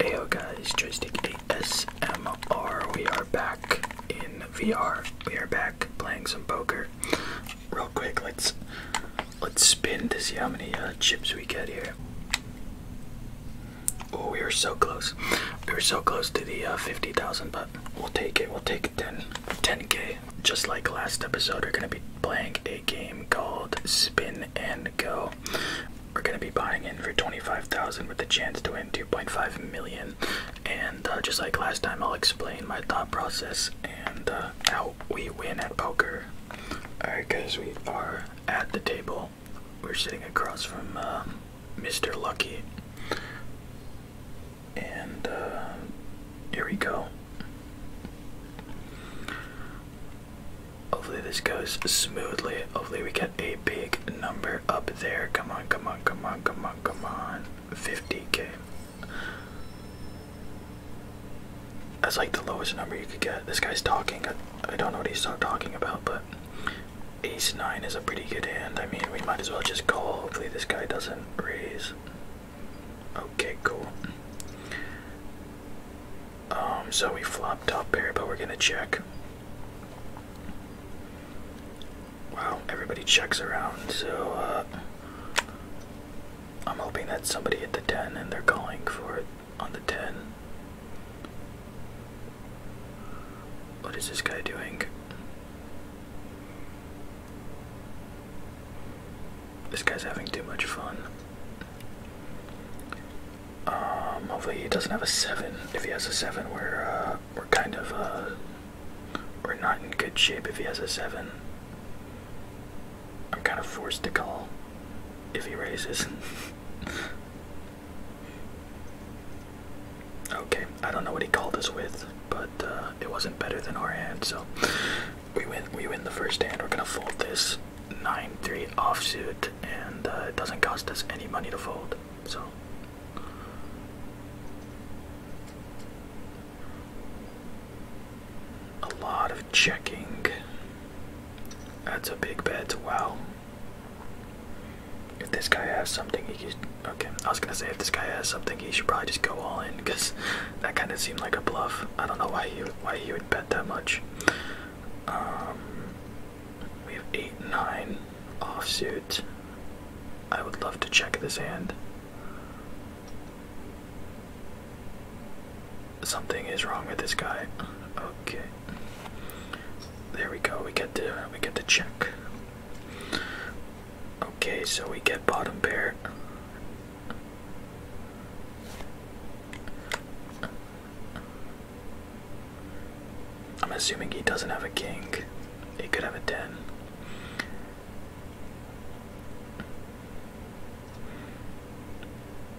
Heyo guys, Joystick ASMR. We are back in VR. We are back playing some poker. Real quick, let's let's spin to see how many uh, chips we get here. Oh, we were so close. We were so close to the uh, 50,000, but we'll take it. We'll take it 10, k Just like last episode, we're going to be playing a game called Spin and Go. We're going to be buying in for 25,000 with the chance to win 2.5 million. And uh, just like last time, I'll explain my thought process and uh, how we win at poker. Alright guys, we are at the table we're sitting across from Mr. Um, Lucky. And uh, here we go. Hopefully, this goes smoothly. Hopefully, we get a big number up there. Come on, come on, come on, come on, come on. 50k. That's like the lowest number you could get. This guy's talking. I don't know what he's talking about, but Ace 9 is a pretty good hand. I mean, we might as well just call. Hopefully, this guy doesn't raise. Okay, cool. Um, so we flop top pair, but we're gonna check. Wow, everybody checks around, so uh, I'm hoping that somebody hit the 10 and they're calling for it on the 10. What is this guy doing? This guy's having too much fun. Um, hopefully he doesn't have a seven. If he has a seven, we're uh, we're kind of uh, we're not in good shape. If he has a seven, I'm kind of forced to call if he raises. Okay, I don't know what he called us with, but uh, it wasn't better than our hand, so we win. We win the first hand. We're gonna fold this nine-three off suit, and uh, it doesn't cost us any money to fold. So. A lot of checking. That's a big bet. Wow, if this guy has something, he could. Okay, I was gonna say if this guy has something, he should probably just go all in, cause that kind of seemed like a bluff. I don't know why he why he would bet that much. Um, we have eight nine offsuit. I would love to check this hand. Something is wrong with this guy. Okay. There we go. We get the we get the check. Okay, so we get bottom pair. I'm assuming he doesn't have a king. He could have a 10.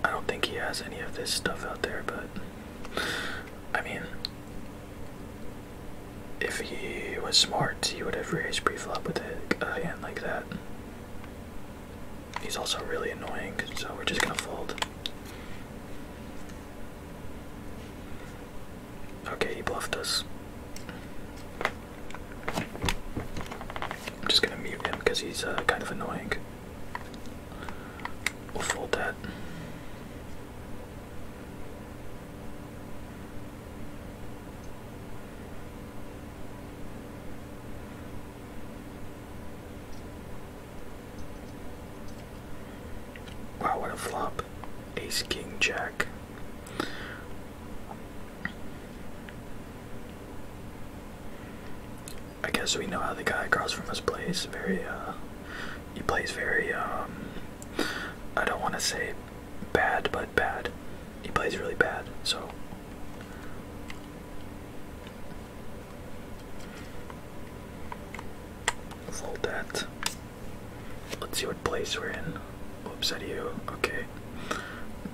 I don't think he has any of this stuff out there, but I mean, if he was smart, he would have raised pre-flop with a, hand like that. He's also really annoying, so we're just gonna fold. Okay, he bluffed us. I'm just gonna mute him because he's uh, kind of annoying. We'll fold that. Wow, what a flop. Ace, king, jack. I guess we know how the guy across from us plays. Very, uh, he plays very, um, I don't want to say bad, but bad. He plays really bad, so. Fold that. Let's see what place we're in. Oops, out of you. Okay.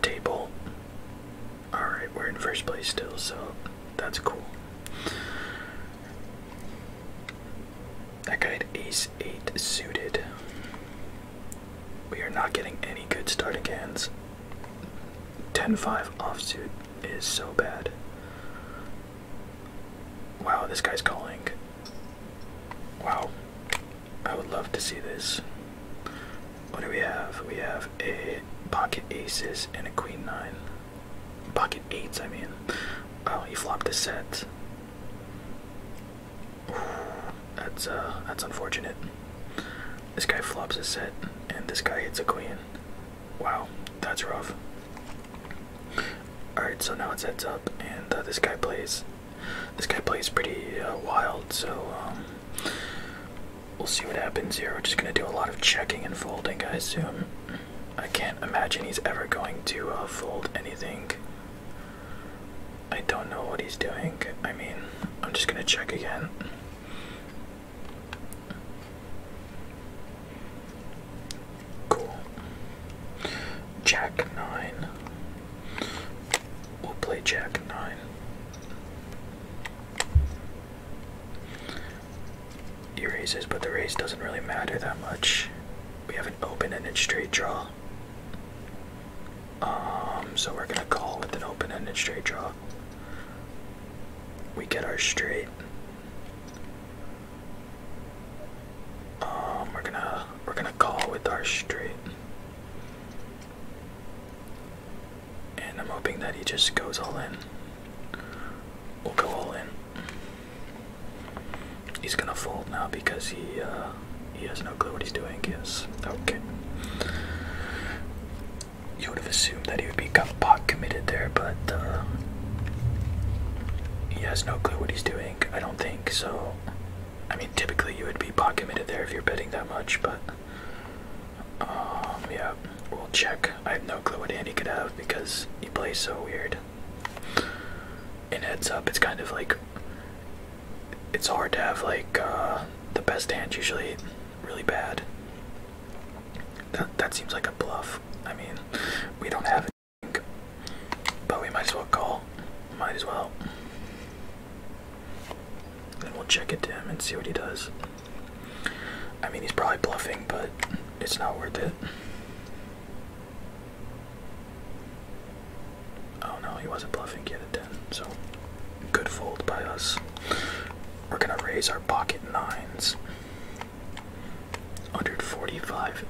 Table. Alright, we're in first place still, so that's cool. That guy had ace eight suited. We are not getting any good starting hands. Ten Five 5 offsuit is so bad. Wow, this guy's calling. Wow. I would love to see this. What do we have? We have a pocket aces and a queen nine. Pocket eights, I mean. Oh, he flopped a set. that's uh, that's unfortunate. This guy flops a set, and this guy hits a queen. Wow, that's rough. Alright, so now it's heads up, and uh, this guy plays. This guy plays pretty uh, wild, so um, We'll see what happens here. We're just gonna do a lot of checking and folding, guys. assume. I can't imagine he's ever going to uh, fold anything. I don't know what he's doing. I mean, I'm just gonna check again. Cool. Jack 9. We'll play Jack 9. He raises, but the raise doesn't really matter that much. We have an open-ended straight draw. Um, so we're gonna call with an open-ended straight draw. We get our straight. Um, we're gonna we're gonna call with our straight. And I'm hoping that he just goes all in. We'll go all in. He's gonna fold now because he uh, he has no clue what he's doing. Yes. Okay. You would have assumed that he would be pot committed there, but uh, he has no clue what he's doing. I don't think so. I mean, typically you would be pot committed there if you're betting that much, but um, yeah, we'll check. I have no clue what Andy could have because he plays so weird. And heads up, it's kind of like it's hard to have like uh, the best hand usually really bad. That that seems like a bluff. I mean, we don't have it, but we might as well call. Might as well. Then we'll check it to him and see what he does. I mean, he's probably bluffing, but it's not worth it. Oh no, he wasn't bluffing. He had a 10, so good fold by us. We're gonna raise our pocket nines. 145.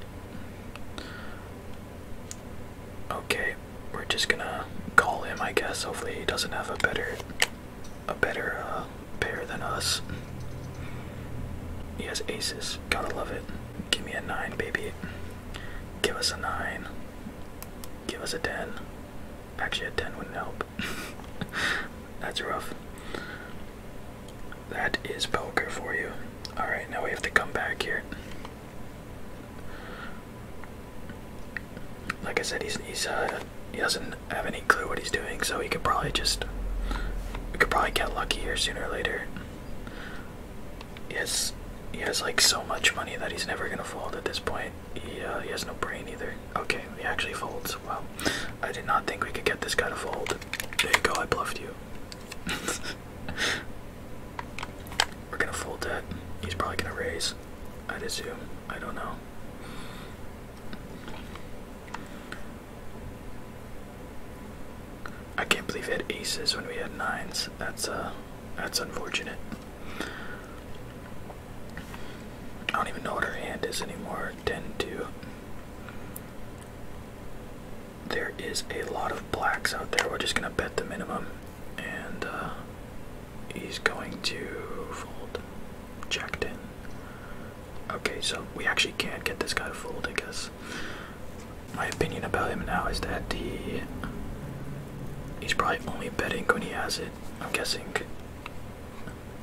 Okay, we're just gonna call him, I guess. Hopefully, he doesn't have a better a better uh, pair than us. He has aces. Gotta love it. Give me a 9, baby. Give us a 9. Give us a 10. Actually, a 10 wouldn't help. That's rough. That is poker for you. Alright, now we have to come back here like I said, he's uh, he doesn't have any clue what he's doing, so he could probably just could probably get lucky here sooner or later. He has he has like so much money that he's never gonna fold at this point. He uh, he has no brain either. Okay, he actually folds. Wow, I did not think we could get this guy to fold. There you go. I bluffed you. We're gonna fold that. He's probably gonna raise. I'd assume. I don't know. I can't believe we had aces when we had nines. That's uh that's unfortunate. I don't even know what her hand is anymore. 10-2. There is a lot of blacks out there. We're just gonna bet the minimum. And uh, he's going to fold. Checked in. Okay, so we actually can't get this guy to fold, I guess. My opinion about him now is that he he's probably only betting when he has it. I'm guessing.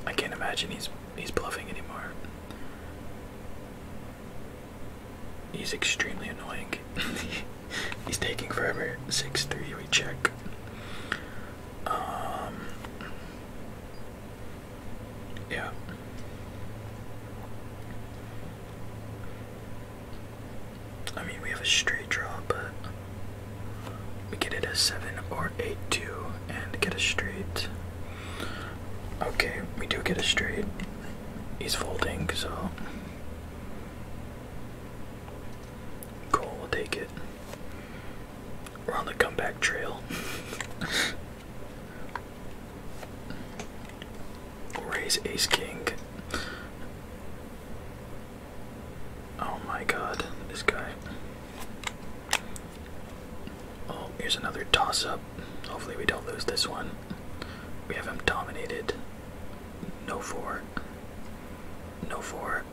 I can't imagine he's he's bluffing anymore. He's extremely annoying. he's taking forever. Six three, we check. Um, yeah. I mean, we have a straight draw, but we get it as 7 or 8 2 and get a straight. Okay, we do get a straight. He's folding, so. Cool, we'll take it. We're on the comeback trail. Raise ace king. Oh my god, this guy. Oh, here's another toss up. Hopefully, we don't lose this one. We have him dominated. No four. No four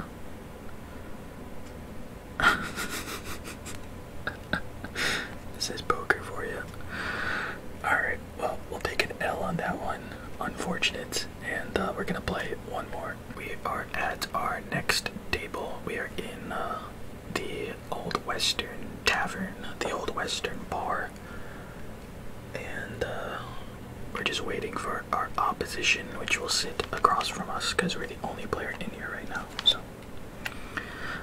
this is poker for you. Alright, well, we'll take an L on that one. Unfortunate. And uh, we're gonna play one more. We are at our next table. We are in uh, the Old Western Tavern, the Old Western Bar. And uh, we're just waiting for our opposition, which will sit across from us because we're we the only player in here right now. So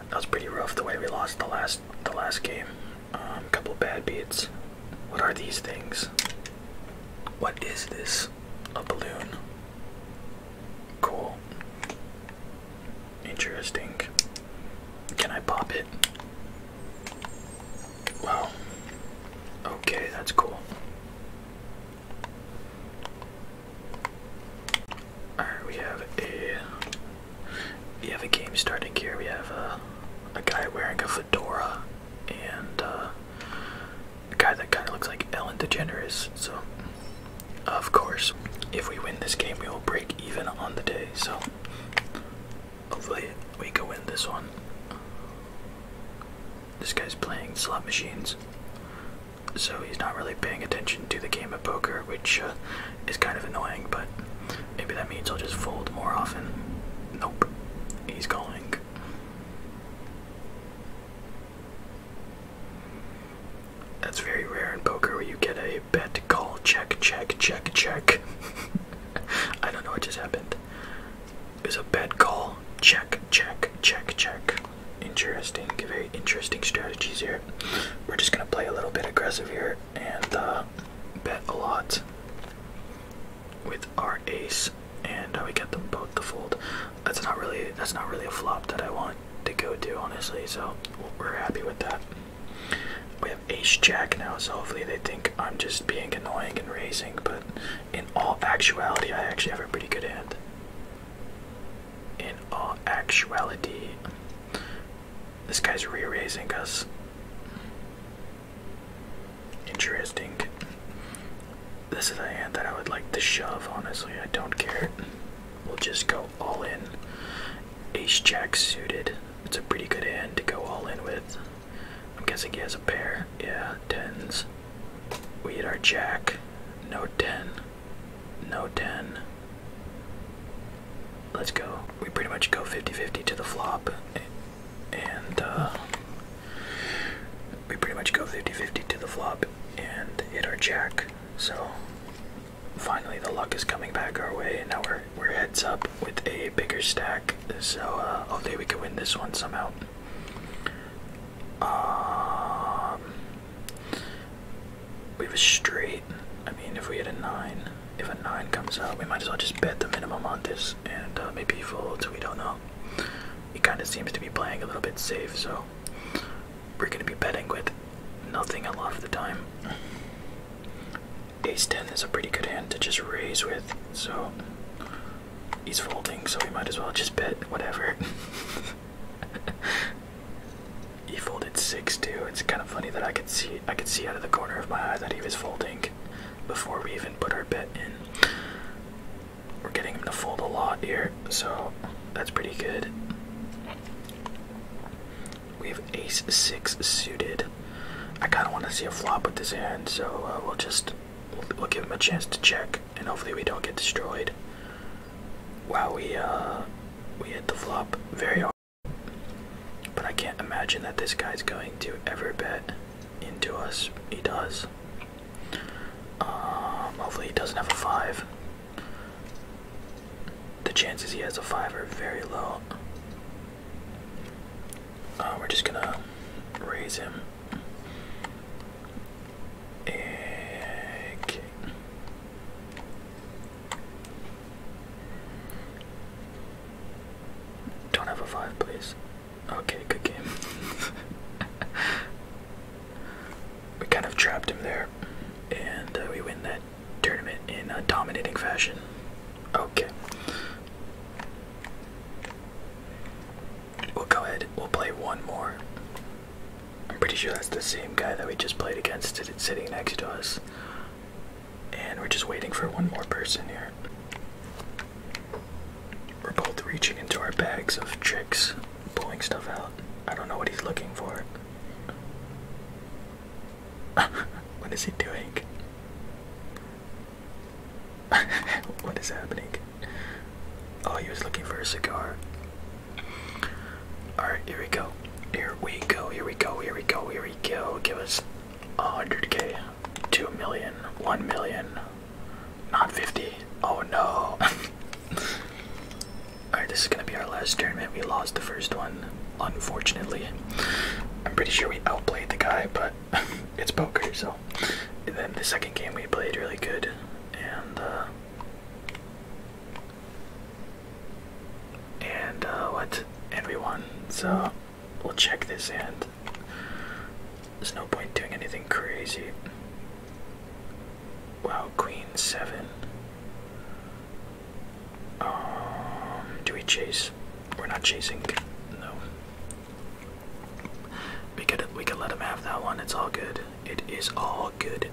that was pretty rough the way we lost the last the last game. A um, couple bad beats. What are these things? What is this? A balloon. Cool. Interesting. Can I pop it? Well, okay, that's cool. Alright, we have a we have a game starting here. We have a, uh, a guy wearing a fedora and uh, a guy that kind of looks like Ellen DeGeneres. So, of course, if we win this game, we will break even on the day. So, hopefully, we can win this one. This guy's playing slot machines, so he's not really paying attention to the game of poker, which uh, is kind of annoying, but maybe that means I'll just fold more often. Nope, he's calling. That's very rare in poker where you get a bet, call, check, check, check, check. I don't know what just happened. Is a bad call. Check, check, check, check. Interesting, very interesting strategies here. We're just gonna play a little bit aggressive here and uh, bet a lot with our ace, and uh, we get them both to fold. That's not really that's not really a flop that I want to go to, honestly. So we're happy with that. We have ace jack now, so hopefully they think I'm just being annoying and raising, but in all actuality, I actually have a pretty good hand. In all actuality, this guy's re raising us. Interesting. This is a hand that I would like to shove, honestly. I don't care. We'll just go all in. Ace Jack suited. It's a pretty good hand to go all in with. I'm guessing he has a pair. Yeah, tens. We hit our jack. No 10. No 10. Let's go. We pretty much go 50 50 to the flop. And, uh. We pretty much go 50 50 to the flop and hit our jack. So, finally, the luck is coming back our way. And now we're, we're heads up with a bigger stack. So, uh, hopefully, we can win this one somehow. Um, we have a straight. I mean, if we had a nine, if a nine comes out, we might as well just bet the minimum on this and uh, maybe fold. So we don't know. He kind of seems to be playing a little bit safe, so we're gonna be betting with nothing a lot of the time. Ace ten is a pretty good hand to just raise with, so he's folding, so we might as well just bet whatever. he folded six too. It's kind of funny that I could see I could see out of the corner of my eye that he was folding before we even put our bet in. We're getting him to fold a lot here, so that's pretty good. We have ace six suited. I kind of want to see a flop with this hand, so uh, we'll just We'll, give him a chance to check, and hopefully we don't get destroyed. Wow, we uh, we hit the flop very hard. But I can't imagine that this guy's going to ever bet into us. He does. Um, hopefully he doesn't have a five. The chances he has a five are very low. Uh, we're just gonna raise him. Okay. Don't have a five, please. Okay, good game. we kind of trapped him there, and uh, we win that tournament in a dominating fashion. Okay. We'll go ahead, we'll play one more. I'm pretty sure that's the same guy that we just played against sitting next to us. And we're just waiting for one more person here. We're both reaching into our bags of tricks, pulling stuff out. I don't know what he's looking for. what is he doing? what is happening? Oh, he was looking for a cigar. All right, here we go. Here we go. Here we go. Here we go. Here we go. Give us 100k, 2 million, 1 million, not 50. Oh no. All right, this is gonna be our last tournament. We lost the first one, unfortunately. I'm pretty sure we outplayed the guy, but it's poker, so and then the second game we played really good, and uh, and uh, what? And we won. So we'll check this hand. There's no point doing anything crazy. Wow, queen seven. Um, do we chase? We're not chasing. No. We could we could let him have that one. It's all good. It is all good.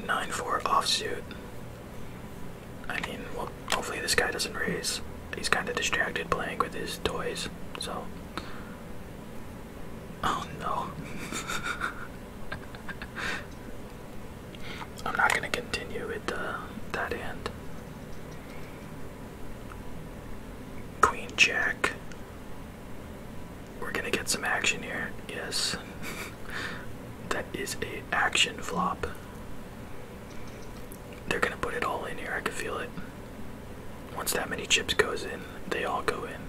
9-4 offsuit. I mean, well, hopefully this guy doesn't raise. He's kind of distracted playing with his toys, so. Oh no. I'm not gonna continue with uh, that hand. Queen Jack. We're gonna get some action here. Yes. that is a action flop. They're gonna put it all in here, I can feel it. Once that many chips goes in, they all go in.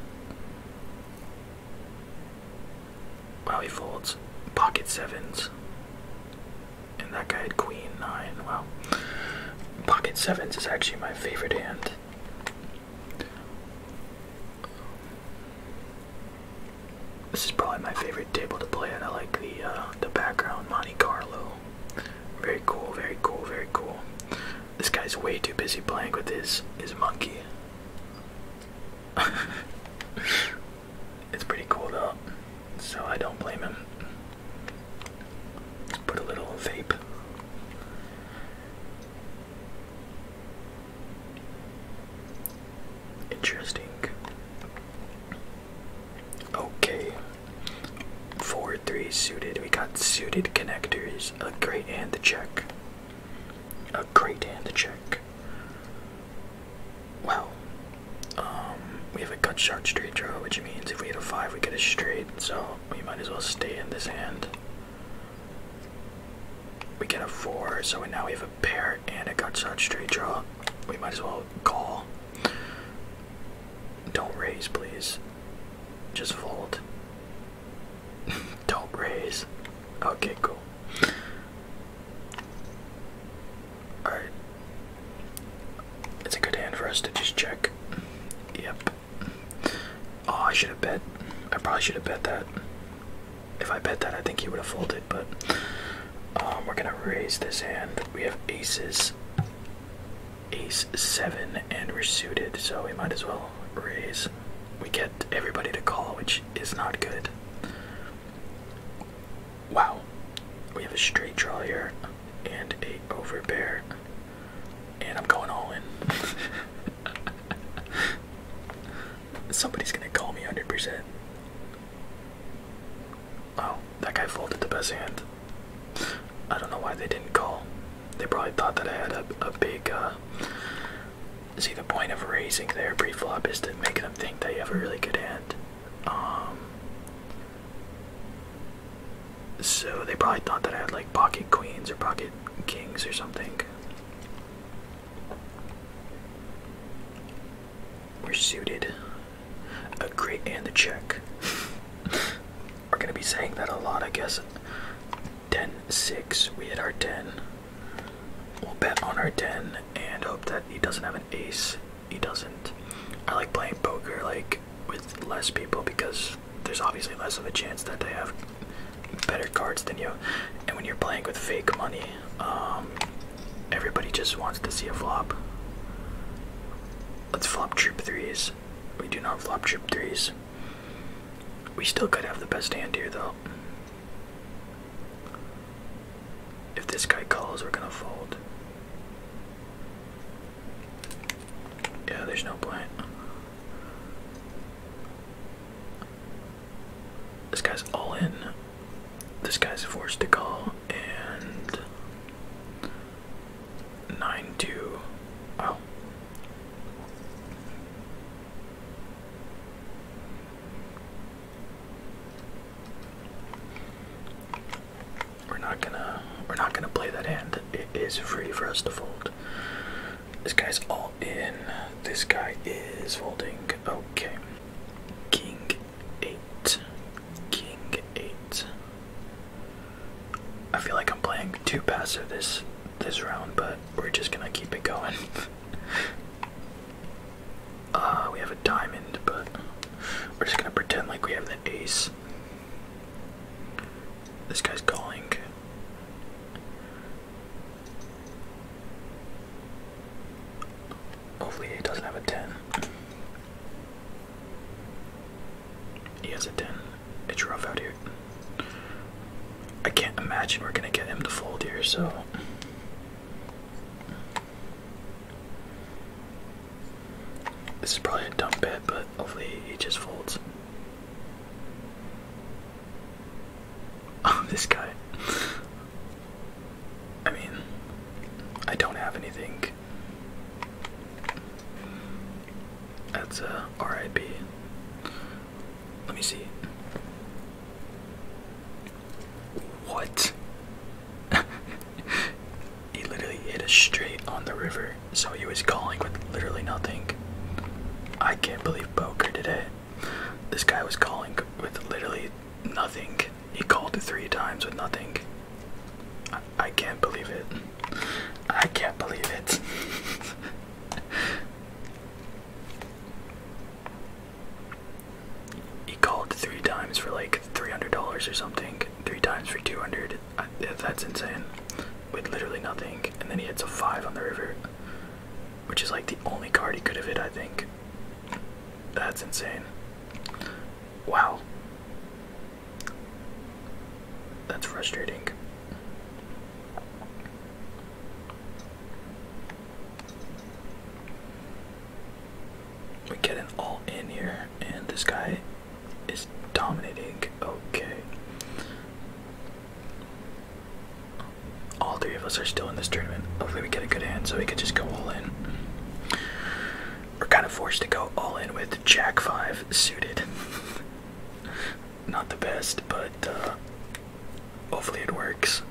Wow, he folds. Pocket sevens and that guy had queen nine. Wow, pocket sevens is actually my favorite hand. This is probably my favorite table to play at. I like the uh, the background Monte Carlo. Very cool, very cool, very cool. This guy's way too busy playing with his his monkey. it's pretty cool though so I don't blame him. put a little vape. Interesting. Okay. 4 3 suited. We got suited connectors. A great hand to check. A great hand to check. Wow. Um, we have a cut short straight draw, which means if we hit a five, we get a straight. So we might as well stay in this hand. We get a four, so now we have a pair and a cut short straight draw. We might as well call. Don't raise, please. Just fold. Don't raise. Okay, cool. Alright, it's a good hand for us to just check. Yep. Oh, I should have bet. I probably should have bet that. If I bet that, I think he would have folded, but um, we're gonna raise this hand. We have aces, ace seven, and we're suited, so we might as well raise. We get everybody to call, which is not good. Wow, we have a straight draw here and a overbear. And I'm going all in. Somebody's gonna call me 100%. Oh, that guy folded the best hand. I don't know why they didn't call. They probably thought that I had a, a big, uh, See, the point of raising their pre flop is to make them think they have a really good hand. Um, so they probably thought that I had like pocket queens or pocket kings or something. We're suited. A great and a check. We're gonna be saying that a lot, I guess. Ten six. We hit our 10. We'll bet on our 10 and hope that he doesn't have an ace he doesn't. I like playing poker like with less people because there's obviously less of a chance that they have better cards than you. And when you're playing with fake money, um, everybody just wants to see a flop. Let's flop trip threes. We do not flop trip threes. We still could have the best hand here though. If this guy calls, we're gonna fold. Yeah, there's no point. This guy's all in. This guy's forced to call and nine two. Oh. We're not gonna we're not gonna play that hand. It is free for us to fold. This guy's all in. This guy is folding. Okay. King eight. King eight. I feel like I'm playing too passive this this round, but we're just gonna keep it going. uh we have a diamond, but we're just gonna pretend like we have the ace. This guy's calling. Hopefully, he doesn't have a 10. He has a 10. It's rough out here. I can't imagine we're gonna get him to fold here, so. This is probably a dumb bet, but hopefully he just folds. Oh, this guy. I mean, I don't have anything. That's a uh, RIP. Let me see. What? He literally hit us straight on the river, so he was calling with literally nothing. I can't believe Poker did it. This guy was calling with literally nothing. He called three times with nothing. I can't believe it. I can't believe it. he called three times for like $300 or something three times for 200. that's insane. With literally nothing. And then he hits a five on the river, which is like the only card he could have hit, I think. That's insane. Wow. That's frustrating. We get an all in here, and this guy is dominating. Okay. All three of us are still in this tournament. Hopefully, we get a good hand so we could just go all in. We're kind of forced to go all in with Jack 5 suited. Not the best, but uh, hopefully it works.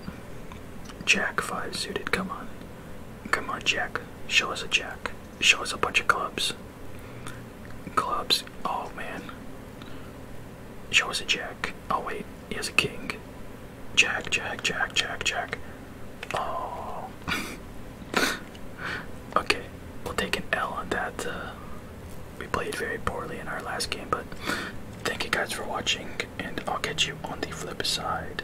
Jack 5 suited, come on. Come on, Jack. Show us a Jack. Show us a bunch of clubs. Clubs. Oh man. Show us a jack. Oh wait, he has a king. Jack, jack, jack, jack, jack. Oh. okay, we'll take an L on that. Uh, we played very poorly in our last game, but thank you guys for watching, and I'll catch you on the flip side.